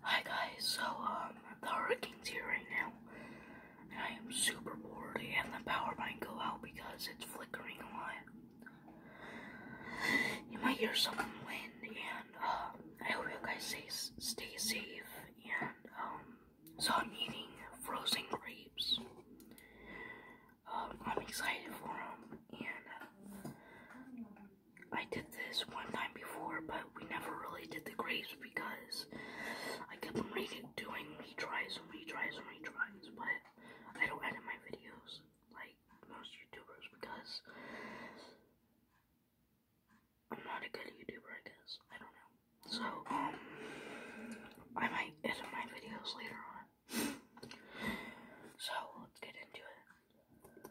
Hi guys, so um, the hurricane's here right now, and I am super bored, and the power might go out because it's flickering a lot. You might hear some wind, and uh, I hope you guys stay, stay safe, and um, so I'm eating frozen grapes. Um, I'm excited for them, and uh, I did this one time before, but we never really did the grapes because I kept doing retries and retries and retries, but I don't edit my videos like most YouTubers because I'm not a good YouTuber, I guess. I don't know. So, um, I might edit my videos later on. So, let's get into it.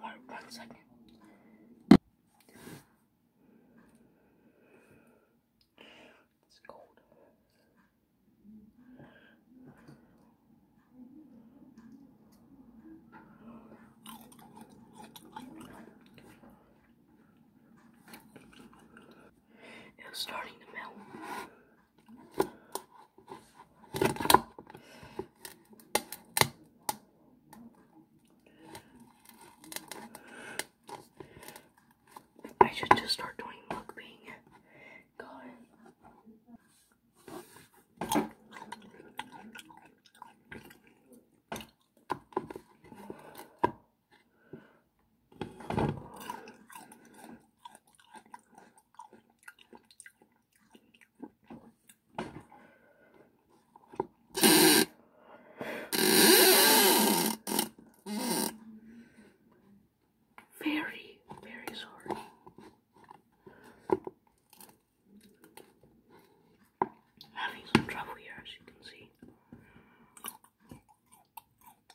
One, one second. It's cold. It starting to melt. I should just start doing mukbang. God. Very, very sorry. Having some trouble here, as you can see.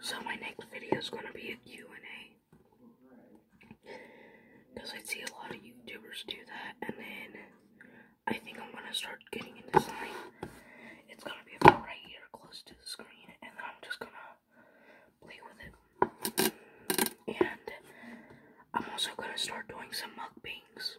So my next video is going to be a Q&A. Because I see a lot of YouTubers do that. And then I think I'm going to start getting into something. It's going to be about right here close to the screen. And then I'm just going to play with it. And I'm also going to start doing some mug mukbangs.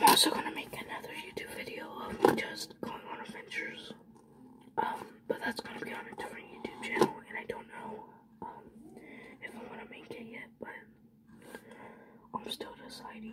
I'm also gonna make another YouTube video of me just going on adventures. Um, but that's gonna be on a different YouTube channel, and I don't know if I'm to make it yet, but I'm still deciding.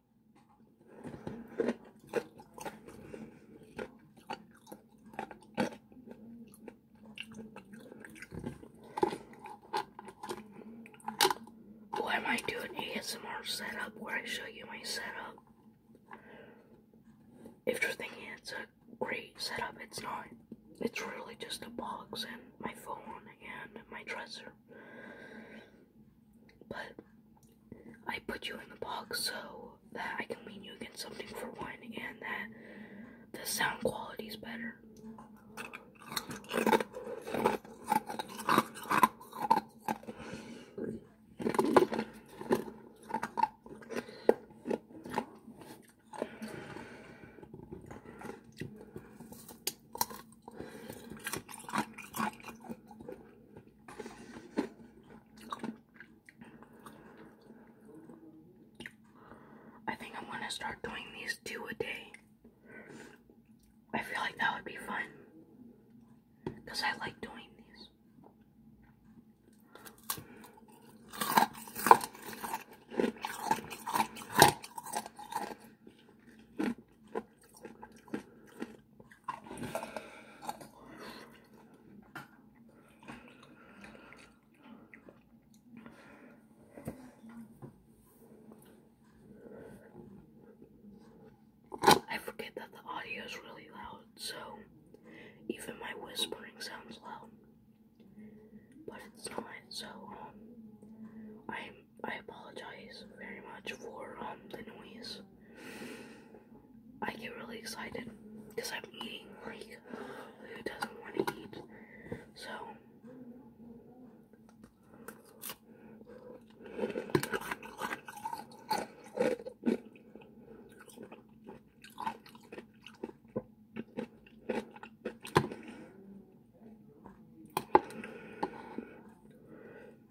am I might do an ASMR setup where I show you my setup. If you're thinking it's a great setup, it's not. It's really just a box and my phone and my dresser. But I put you in the box so that I can mean you against something for one and that the sound quality is better. I think I'm gonna start doing these two a day. I feel like that would be fun. Because I like doing these. I forget that the audio is really loud, so even my whispering sounds loud. But it's not, so um, I I apologize very much for um, the noise. I get really excited because I'm eating like who doesn't want to eat. So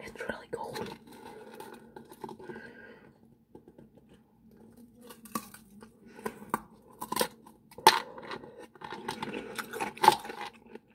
It's really cold.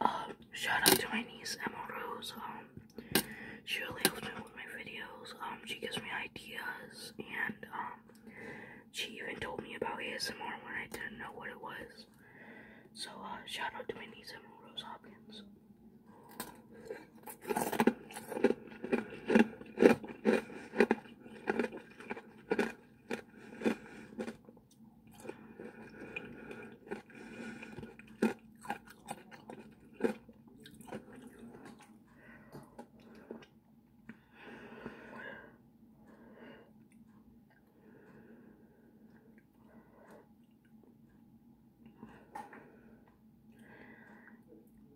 Um, shout out to my niece Emma Rose. Um, she really helps me with my videos. Um, she gives me ideas, and um, she even told me about ASMR when I didn't know what it was. So, uh, shout out to my niece Emma Rose Hopkins.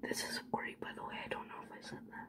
This is great, by the way. I don't know if I said that.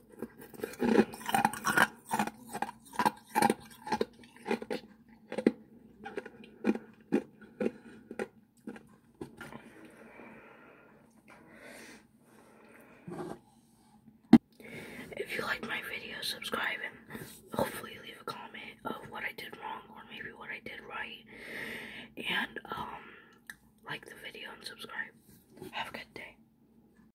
If you like my video, subscribe and hopefully leave a comment of what I did wrong or maybe what I did right. And um like the video and subscribe. Have a good day.